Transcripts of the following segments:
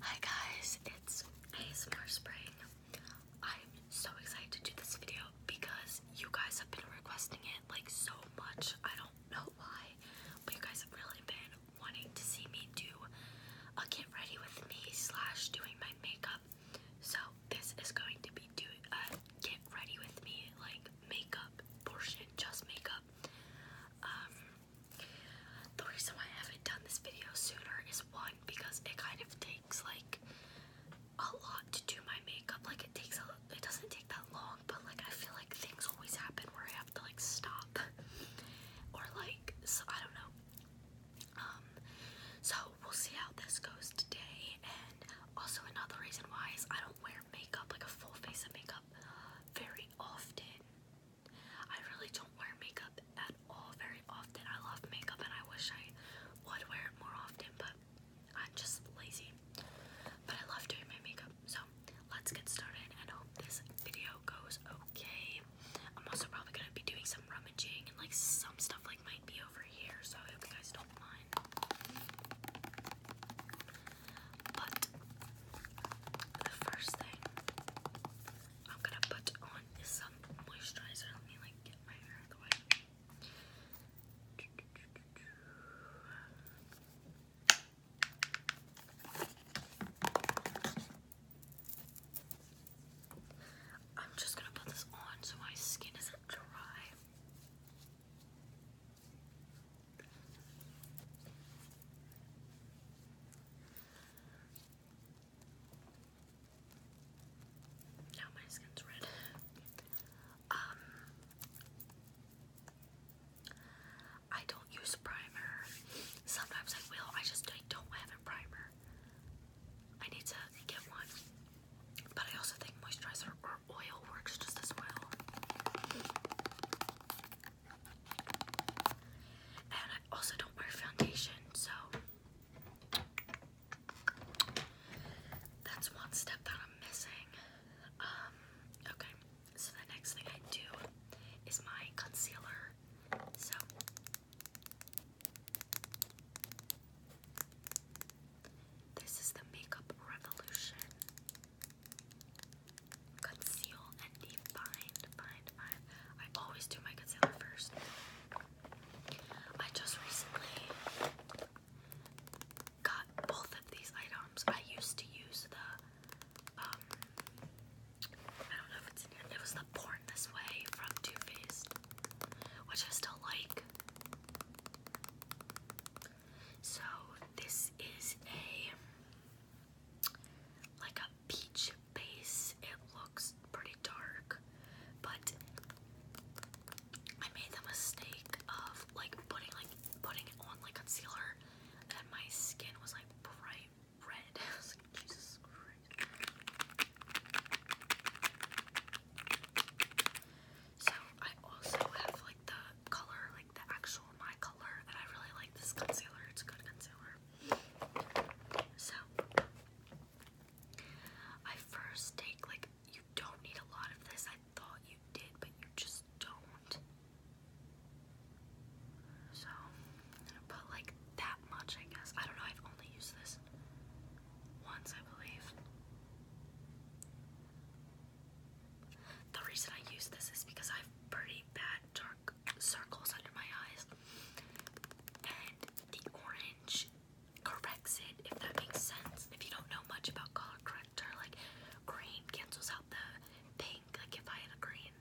Hi guys, it's ASMR Spring. I'm so excited to do this video because you guys have been requesting it like so much. I don't know why, but you guys have really been wanting to see me do a get ready with me slash doing my makeup. So this is going to be do a uh, get ready with me like makeup portion, just makeup. Um the reason I haven't done this video sooner is one, because it kind of takes like a lot to do my makeup. Like it takes a it doesn't take that long, but like I feel like things always happen where I have to like stop. or like so I don't know. Um so we'll see how this goes today and also another reason why is I don't wear makeup like a full face of makeup very often. I really don't wear makeup at all very often. I love makeup and I wish I would wear it more often, but I'm just lazy. But I love doing my makeup, so let's get started and hope this video goes okay. I'm also probably gonna be doing some rummaging and like some stuff like might be over here, so I hope you guys don't mind. But the first thing I'm gonna put on is some moisturizer. Let me like get my hair out of the way. I'm just gonna put this on so my skin isn't dry. Now my skin's red. Um, I don't use primer. Sometimes I will. I just I don't have a primer. I need to get one. But I also think moisturizer or oil works just as well. And I also don't wear foundation, so that's one step that I'm missing. Um, okay, so the next thing I do is my concealer. So this is the Makeup Revolution Conceal and define, define, define. I always do my concealer first. I just recently got both of these items. I used to use the, um, I don't know if it's in here. It was the Born This Way from Too Faced, which I still like. So this is a like a peach base. It looks pretty dark, but I made the mistake of like putting like putting on like concealer, and my skin was like bright red. So I also have like the color the actual my color, and I really like this concealer. It's a good concealer. So I first take like you don't need a lot of this. I thought you did, but you just don't. So put like that much, I guess. I don't know. I've only used this once, I believe. The reason I use this is because I have pretty bad dark circles under my eyes, and the orange corrects it, if that makes sense. If you don't know much about color corrector, like green cancels out the pink. Like if I had a green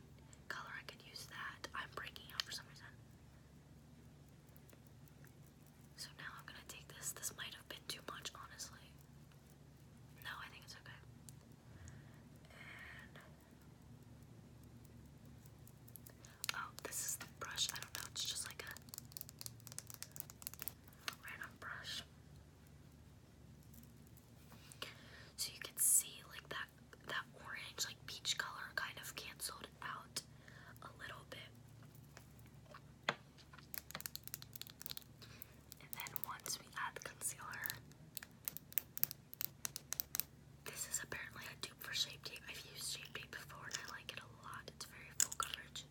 color, I could use that. I'm breaking out for some reason. So now I'm gonna take this. This might have been too much, honestly. No, I think it's okay oh, this is the brush. I don't know. It's just like a random brush. So you can see like that that orange, like peach color, kind of canceled out a little bit. And then once we add the concealer, this is apparently a dupe for Shape Tape. I've used Shape Tape before and I like it a lot. It's very full coverage.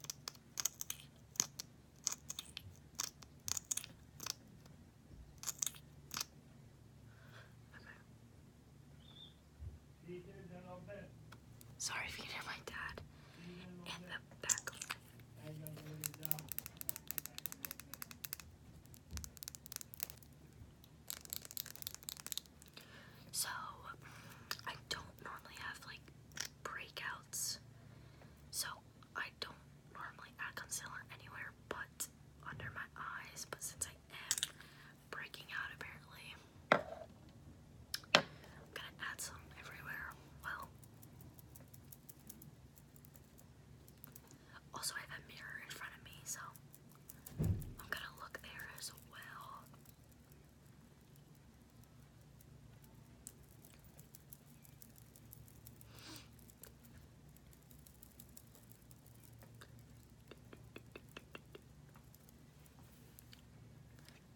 Sorry if you hear my dad so, I don't normally have like breakouts, so I don't normally add concealer anywhere but under my eyes. But since I am breaking out, apparently, I'm gonna add some everywhere. Well, also, I have a mirror in front of me, so I'm gonna look there as well.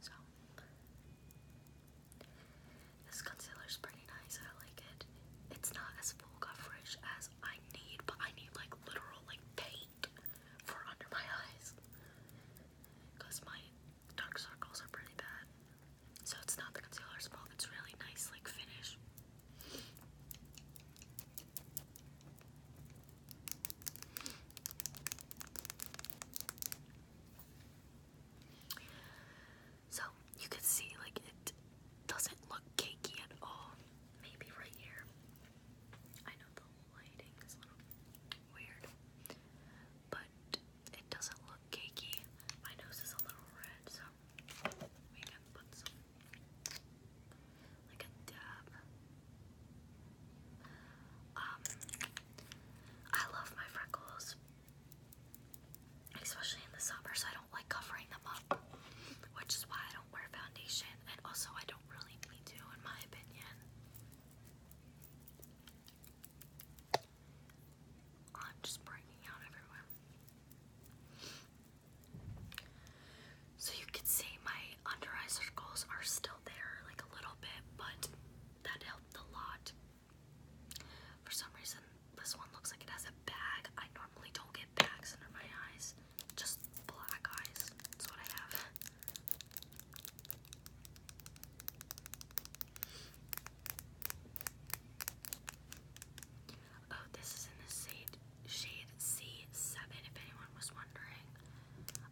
So, this concealer is pretty nice. I like it. It's not as full coverage as I need, but I need like literal like paint for under my eyes. Because my dark circles are pretty bad. So it's not the concealer spot; it's really nice like finish. So you can see like it doesn't look cakey at all. Maybe right here. I know the lighting is a little weird, but it doesn't look cakey. My nose is a little red, so we can put like a dab. Um, I love my freckles especially in the summer, so I don't like covering them up, which is why I don't wear foundation, and also I don't really need to, in my opinion. I'm just breaking out everywhere. So you can see my under eye circles are still there, like a little bit, but that helped a lot. For some reason, this one looks like it has a bag. I normally don't get bags under my eyes, just black eyes. That's what I have. Oh, this is in the shade, shade C7, if anyone was wondering.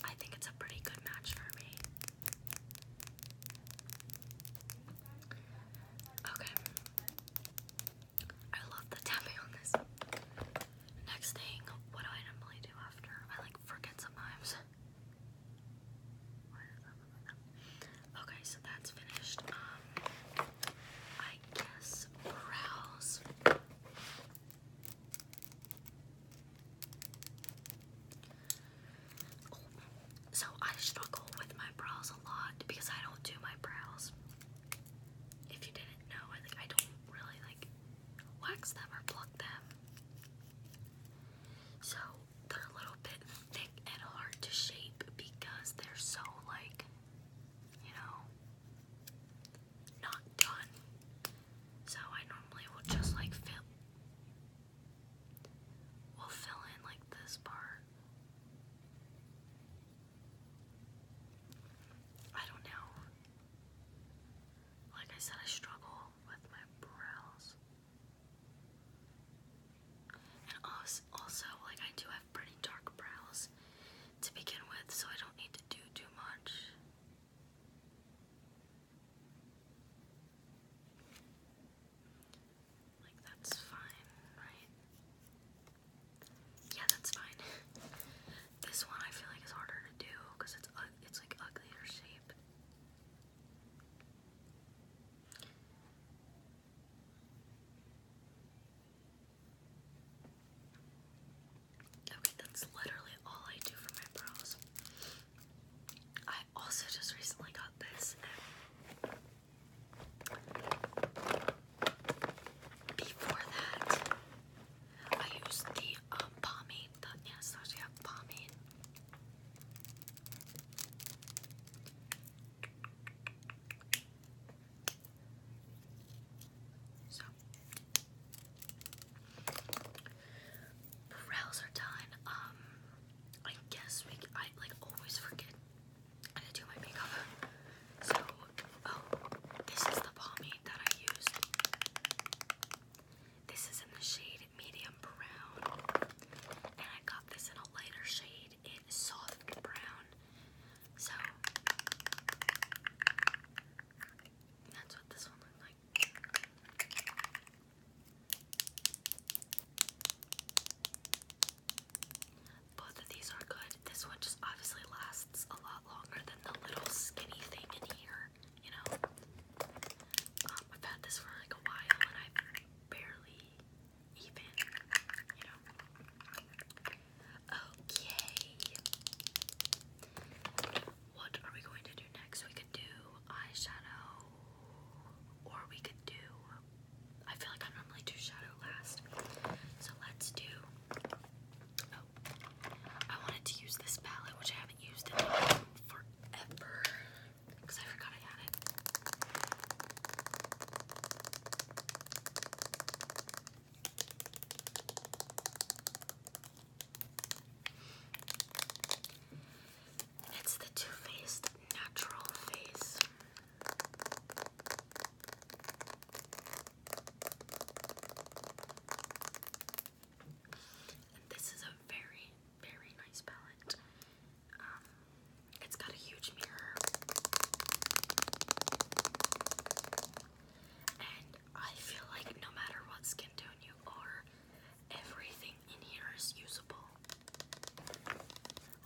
I think it's a pretty good match for me. Okay. I love the tapping on this. Next thing, what do I normally do after? I like forget sometimes. Okay, so that's finished. Um, I guess brows. so I struggle with my brows a lot because I don't do my brows. If you didn't know, I think I don't really like wax them or pluck them. So they're a little bit thick and hard to shape because they're so like, you know, not done. So I normally will just like fill will fill in like this part I don't know. Like I said, I struggle with my brows. And also, like I do have pretty dark brows to begin with, so I don't need to do too much. Like that's fine, right? Yeah, that's fine. this one I feel like is harder to do because it's it's like uglier shape. Okay, that's literally all I do for my brows. I also just recently got this. Before that, I used the um, pomade, the Anastasia pomade. So, brows are done. Um, I guess we I like always forget and I do my makeup. So, oh, this is the pomade that I used. This is in the shade medium brown, and I got this in a lighter shade in soft brown. So, that's what this one looks like. Both of these are good. This one just obviously lasts a lot longer than the little skinny thing in here, you know? Um, I've had this for like a while and i barely even, you know? Okay. What are we going to do next? We could do eyeshadow or we could do. I feel like I normally do shadow last. So let's do Oh. I wanted to use this palette, which I haven't used in forever because I forgot I had it. it's the Too Faced Natural Face. And this is a very, very nice palette. Um, it's got a huge mirror. And I feel like no matter what skin tone you are, everything in here is usable.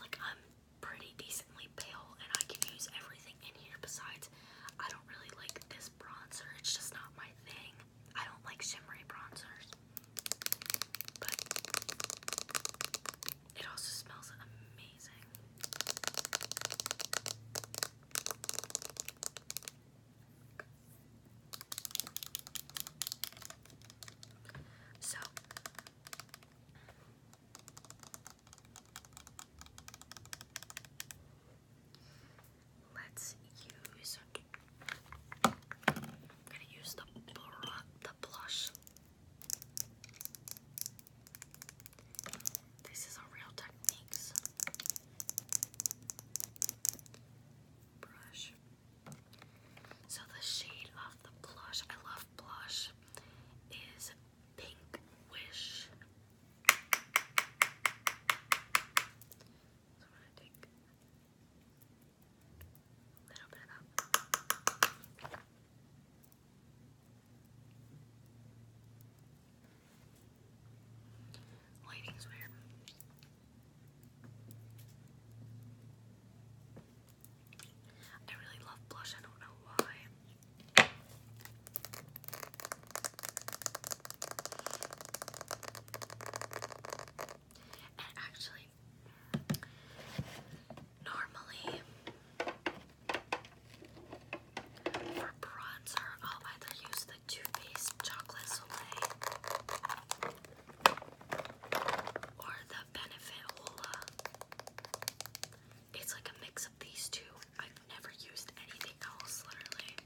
Like, I'm pretty decently pale, and I can use everything in here. Besides, I don't really like this bronzer, it's just not my thing. I don't like shimmery bronzers, but it also smells amazing. So, Let's use. I'm gonna use the the blush. This is a real techniques. Brush. So the shade of the blush, I love blush, is Pink Wish. little bit of that. Lighting's weird. I really love blush, I don't know why actually, normally for bronzer, I'll either use the Too Faced Chocolate Soleil or the Benefit Hola. It's like a mix of these two never used anything else, literally.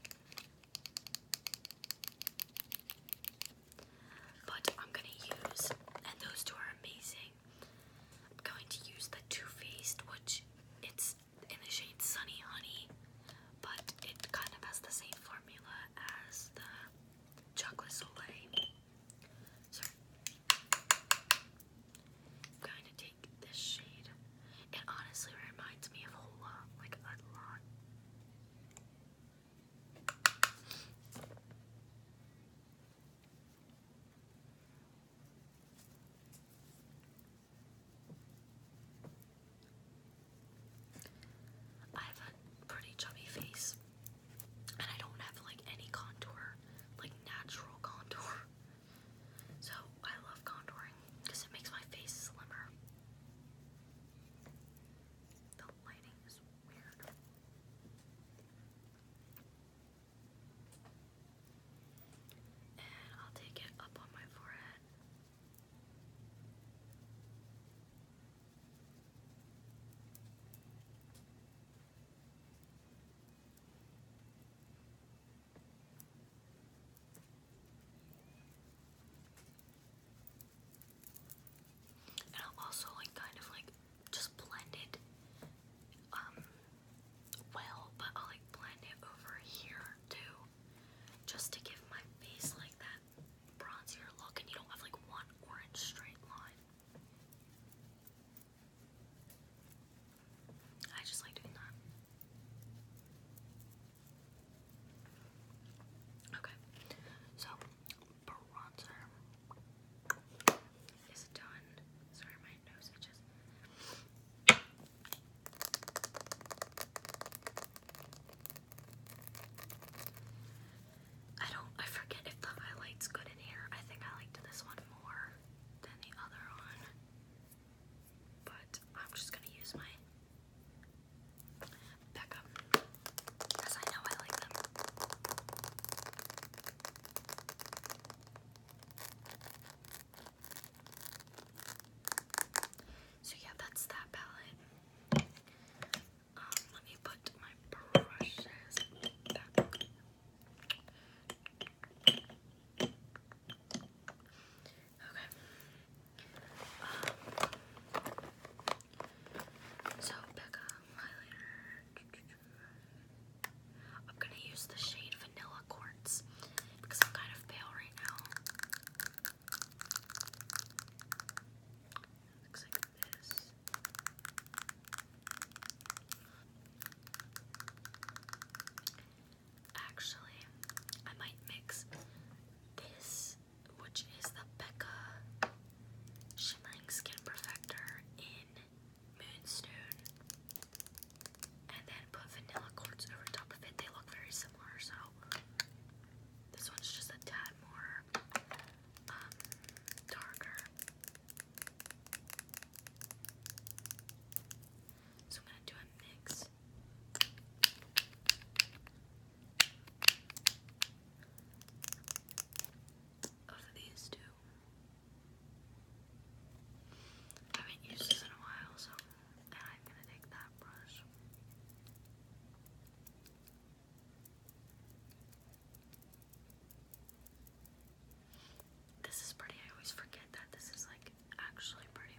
But I'm gonna use, and those two are amazing. I'm going to use the Too Faced, which it's in the shade Sunny Honey, but it kind of has the same formula as the Chocolate Soleil. So, I'm going to this shade. It honestly reminds me of Hola, like a lot. I have a pretty chubby face, and I don't have like any contour, like natural contour. So I love contouring because it makes my face slimmer. And I'll take it up on my forehead. And I'll also like kind of like just blend it um well, but I'll like blend it over here too. Just to give my face like that bronzier look and you don't have like one orange straight line. I just like doing that. Okay, so bronzer is done. Sorry, my nose itches. I don't, I forget if the highlight's good in here. I think I liked this one more than the other one. But I'm just gonna use my Becca because I know I like them. So yeah, that's that palette. Um, let me put my brushes back. Okay. so pick highlighter. I'm gonna use the shade Vanilla Quartz because I'm kind of pale right now. Looks like this. Actually, I might mix this, which is the Becca Shimmering Skin Perfector in Moonstone, and then put vanilla quartz over top of it. They look very similar, so this one's just a tad more um, darker. So I'm gonna do a mix. Of these two. I haven't used this in a while, so and I'm gonna take that brush. This is pretty. I always forget that this is like actually pretty.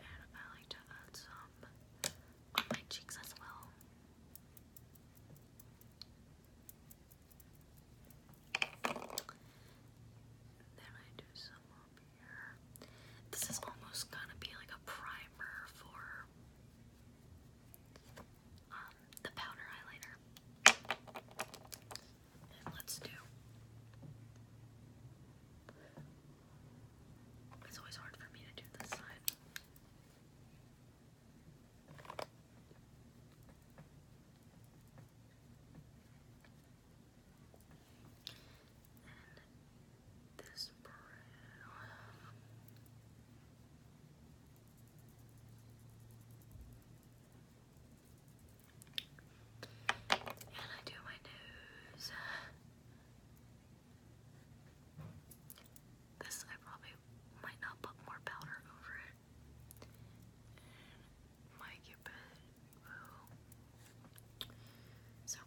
And I like to add some on my cheeks as well. Then I do some up here. This is almost gonna be like a primer for um, the powder highlighter. And let's do. It's always hard for me to do this side. And this brown. And I do my nose. This, I probably might not put more powder over it. And my cupid. Ooh. So.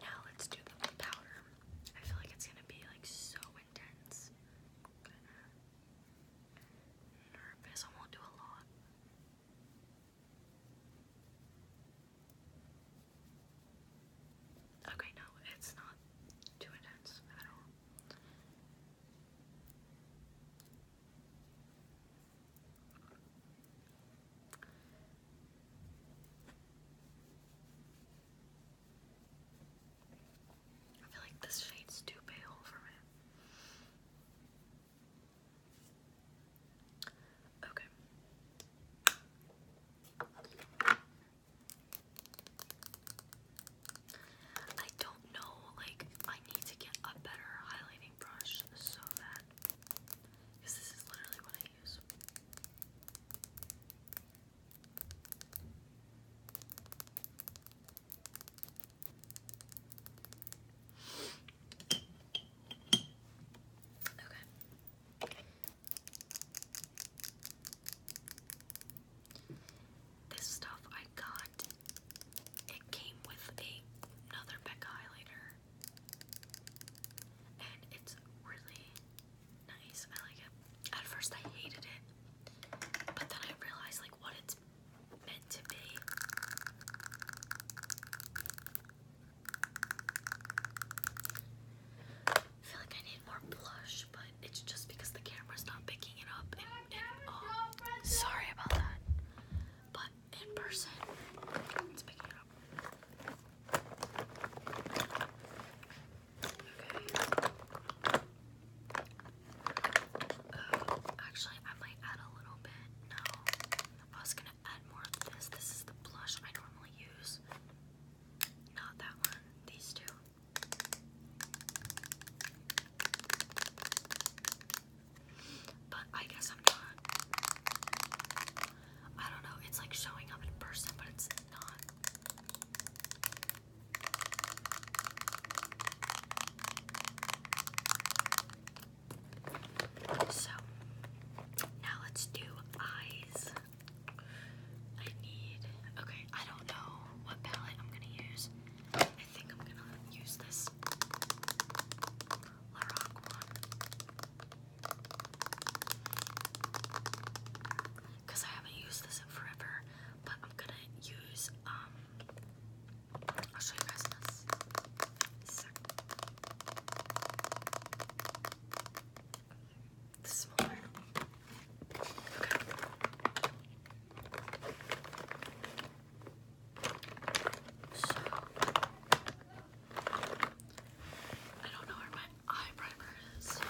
Now let's do the powder. I feel like it's gonna be like so intense. nervous. I won't do a lot. Okay, no, it's not too intense at all. I feel like this shade's too pale for me. Okay. I don't know, like, I need to get a better highlighting brush so that. Because this is literally what I use. Okay. This stuff I got, it came with a, another Becca highlighter. And it's really nice. I like it. At first I hated it. But then I realized like what it's meant to be. I feel like I need more blush, but it's just because the camera's not picking it up. And, and oh, sorry about that. But in person, it's picking up. Okay. Oh, actually, I might add a little bit. No, I was gonna add more of this. This is the blush I normally use. Not that one. These two. But I guess I'm not. I don't know. It's like showing up in person, but it's not. So now let's do eyes. I need okay, I don't know what palette I'm gonna use. I think I'm gonna use this Lorac one. Because I haven't used this in forever, but I'm gonna use, um, I'll show you guys this. So, the so, I don't know where my eye primer is.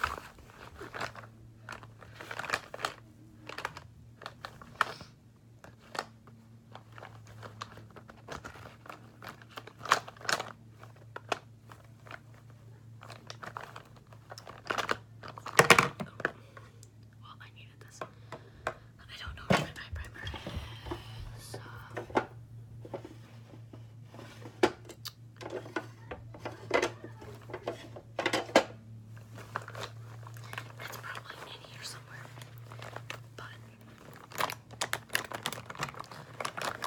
Well, I needed this. I don't know where my primer is. It's probably in here somewhere.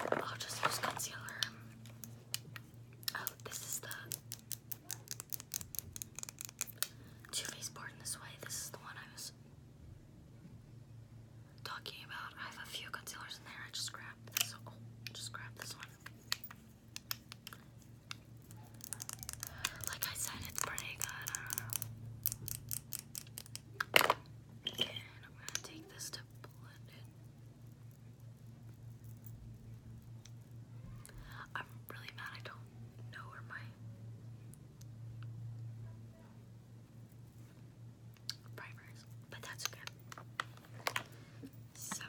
But I'll just use concealer. Oh, this is the too Faced Born This Way. This is the one I was talking about. I have a few concealers in there. I just grabbed this. Oh, just grab this one. Like I said, it's pretty good. And I'm going to take this to blend it. I'm really mad I don't don't my primer but that's okay. So,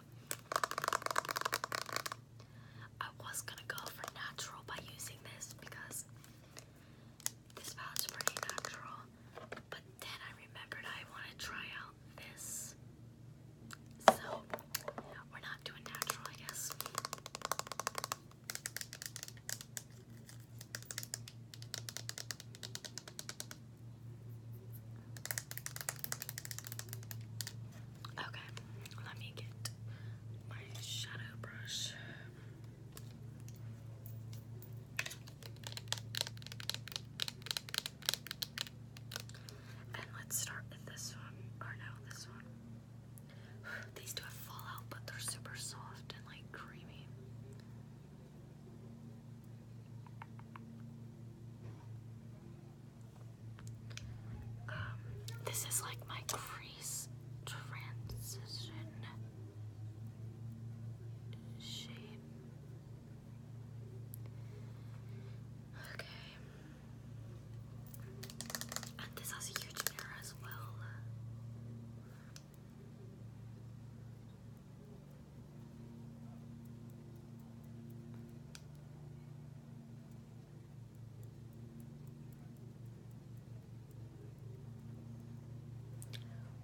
I was gonna go for natural by using this because this palette's pretty natural, but then I remembered I want to try out this so, we're not doing natural, I guess. Okay, let me get my shadow brush. And let's start with this one. Or no, this one. These do have fallout, but they're super soft and like creamy. Um, this is like my crease transition shape. Okay. And this has a huge mirror as well.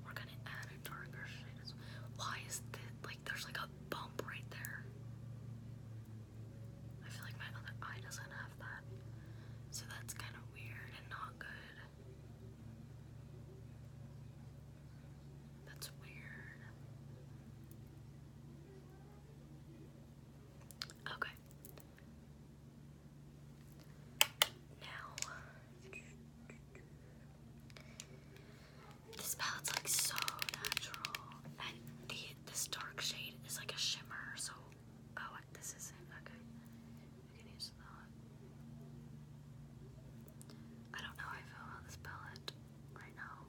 We're gonna add a darker shade Why is this like there's like a bump right there? I feel like my other eye doesn't have that. So that's kind of weird and not good. That's weird. Okay. Now, this palette's like so natural, and this dark shade is like a shimmer, so oh this is okay. I don't know how I feel about this palette right now.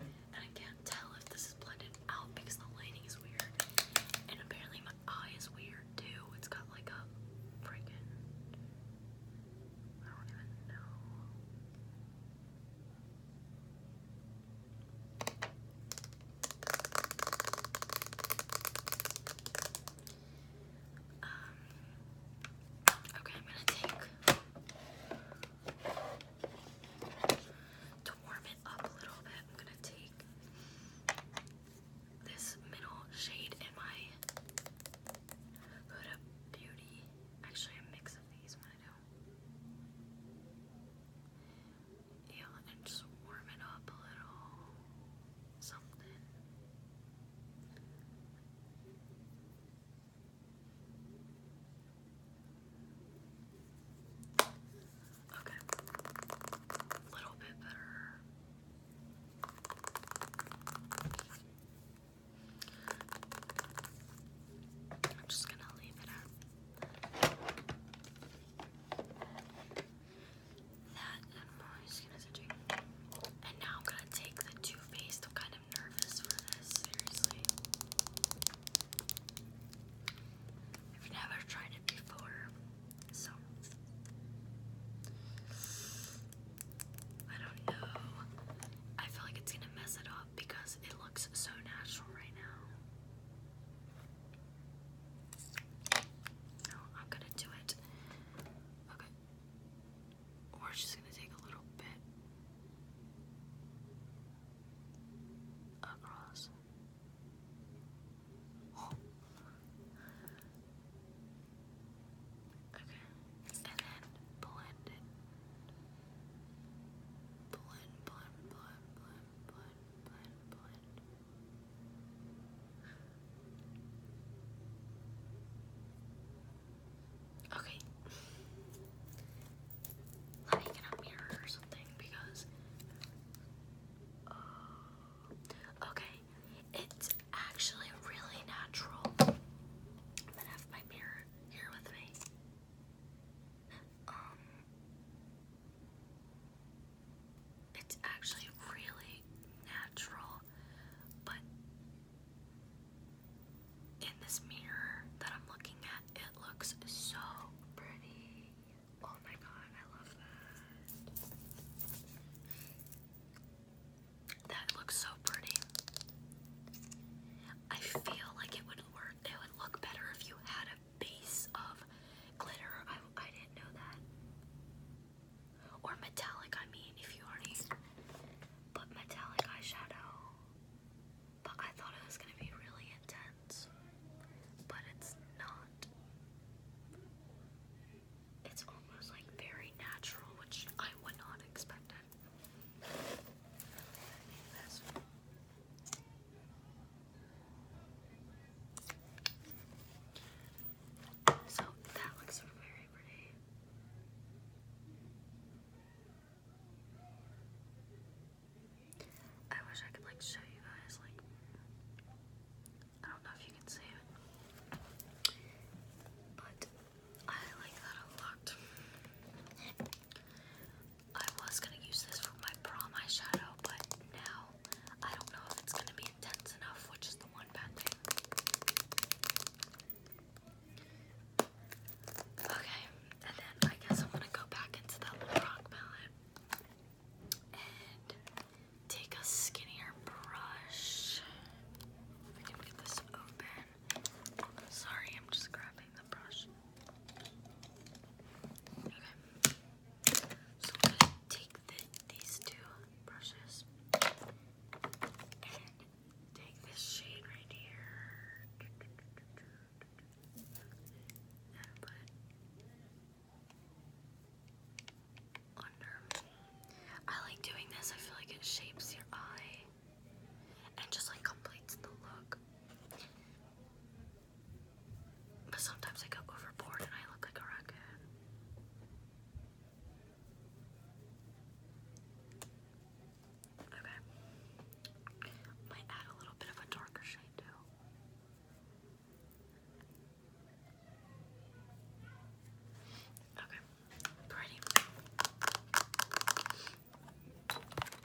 And I can't tell if this is blended out because the lighting is weird. And apparently my eye is weird too. It's got like a freaking I don't even know. Um, okay, I'm gonna take to warm it up a little bit. I'm gonna take this middle shade in my Huda Beauty. Actually, a mix of these Yeah, and just warm it up a little something. Okay. A little bit better. I'm just gonna leave it at that and moisturizer. And now I'm gonna take the Too Faced kind of i nervous for this, seriously. I've never tried it before, so I don't know. I feel like it's gonna mess it up because it looks so natural right now. No, I'm gonna do it. Okay. We're just gonna take a little bit across. Okay, and then blend it. blend, blend, blend, blend, blend, blend. Okay. Let me get a mirror or something because. Uh, okay, it's actually really natural that have my mirror here with me. Um, it's actually really natural, but in this mirror that I'm looking at, it looks so pretty. Oh my god, I love that. That looks so pretty. I feel like it would work. It would look better if you had a base of glitter. I, didn't know that. Or metallic, I mean, if you already put metallic eyeshadow but I thought it was going to be really intense. But it's not. It's almost like very natural, which I would not expect So that looks very pretty. I wish I could like show you guys like I don't know if you can see it. But I like that a lot. I was gonna use this for my prom eyeshadow, but now I don't know if it's gonna be intense enough, which is the one bad thing. Okay, and then I guess I'm gonna go back into that rock palette and take a skinnier brush. sorry, I'm just grabbing the brush. Okay. So I'm gonna take these two brushes take this shade right here put under I like doing this, I feel like it shapes your eye and just like completes the look. But sometimes I go overboard and I look like a rocket. Okay. Might add a little bit of a darker shade too. Okay. Pretty.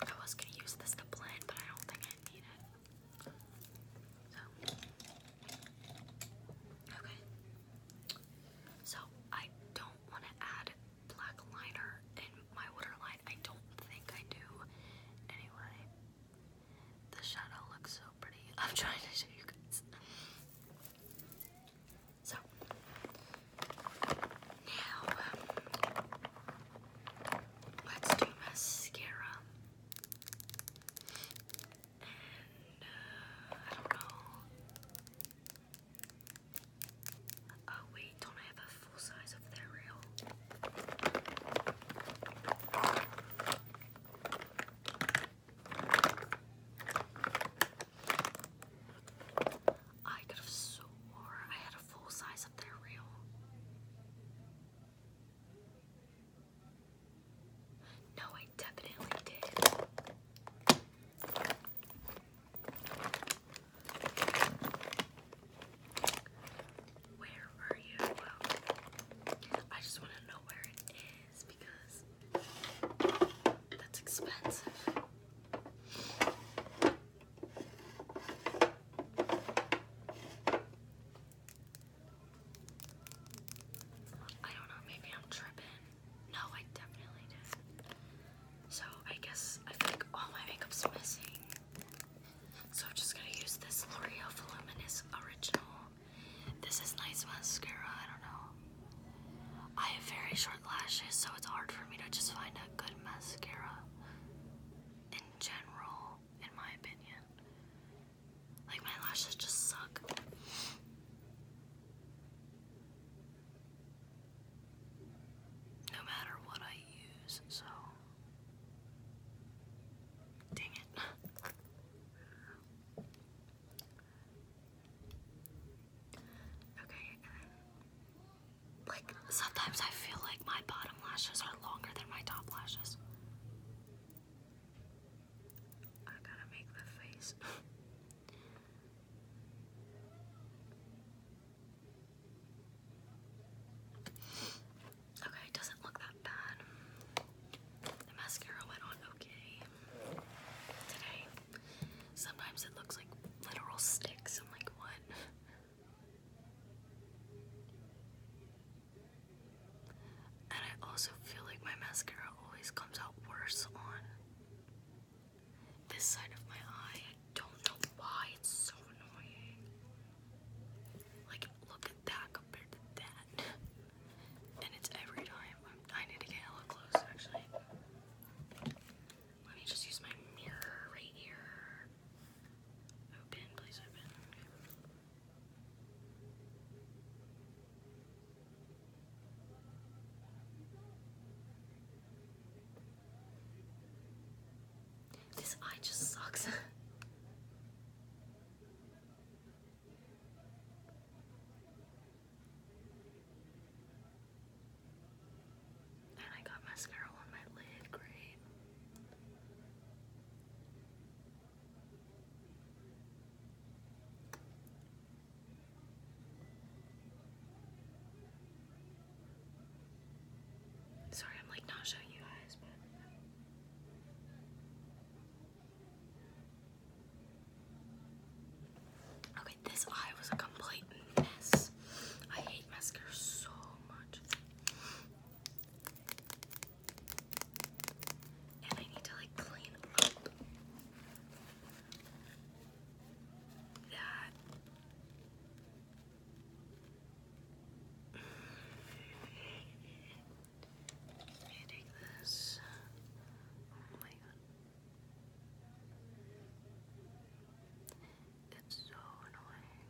I was gonna use this to blend, but I don't think I need it. So okay. So I don't want to add black liner in my waterline. I don't think I do. Anyway, the shadow looks so pretty. I'm trying to show you guys. So, now um, let's do mascara. And uh, I don't know. Oh wait, don't I have a full size of their I could have swore I had a full size of their reel. No, I definitely did. Where are you? I just want to know where it is because that's expensive. I don't know, maybe I'm tripping. No, I definitely did. So I guess I think all my makeup's missing. So I'm just gonna use this L'Oreal Voluminous Original. This is nice mascara, I don't know. I have very short lashes, so it's hard for me to just find a good mascara in general, in my opinion. Like, my lashes just suck no matter what I use, so. Dang it. okay, like sometimes I feel like my bottom lashes are longer than my top lashes. I gotta make the face. Okay, it doesn't look that bad. The mascara went on okay today. Sometimes it looks like literal sticks. I'm like, what? And I also feel like my mascara always comes out worse on this side of my eye. I don't know why it's so annoying. Like, look at that compared to that. And it's every time. i need to get hella close, actually. Let me just use my mirror right here. Open, please open. This eye just sucks. and I got mascara on my lid, great. Sorry, I'm like not showing you guys, but. Okay, this eye was a complete mess. I hate mascara so much. And I need to like clean up that Eating this. Oh my god. It's so annoying.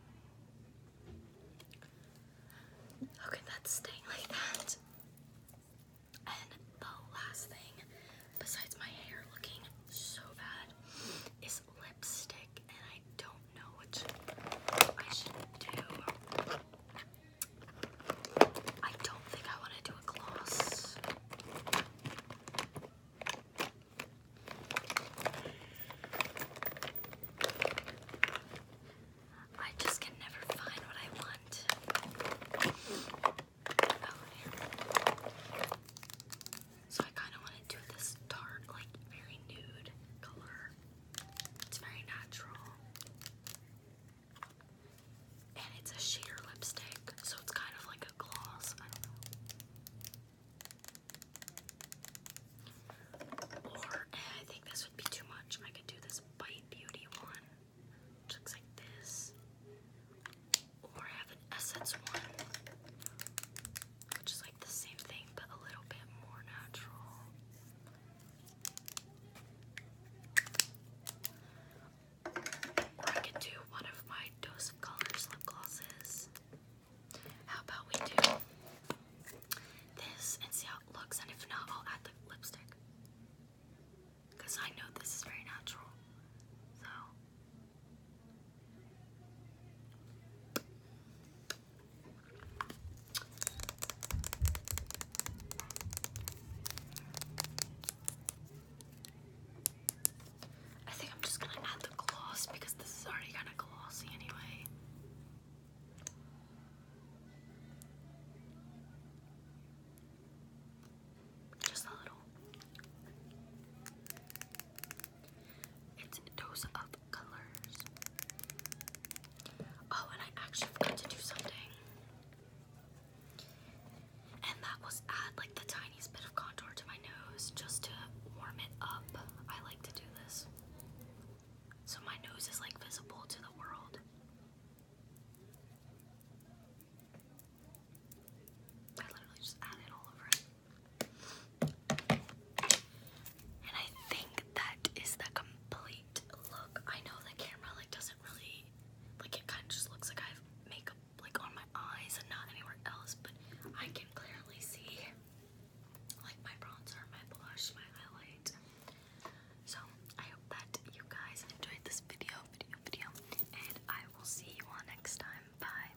Okay, that's staying like that. And the last thing besides my hair looking so bad, is lipstick, and I don't know what I should do. I don't think I want to do a gloss. I just can never find what I want. Oh, so I kind of want to do this dark, like very nude color. It's very natural. And it's a sheer lipstick, so it's kind of like a gloss. Or eh, I think this would be too much. I could do this Bite Beauty one, which looks like this or I have an Essence one, which is like the same thing but a little bit more natural. Or I could do one of my Dose of Colors lip glosses. How about we do this and see how it looks, and if not, I'll add the lipstick. Because I know this is very natural. So, I think I'm just gonna add the gloss because this is already kind of glossy anyway. Just a little. It's Dose of Colors. Oh, and I actually forgot to do something. And that was add like the tiniest bit of contour to my nose just to warm it up. I like to do this. So my nose is like visible to the world. I literally just add it all over and I think that is the complete look. I know the camera like doesn't really like it kind of just looks like I have makeup like on my eyes and not anywhere else, but I can clearly see like my bronzer, my blush, my highlight. So I hope that you guys enjoyed this video, video, video, and I will see you all next time. Bye.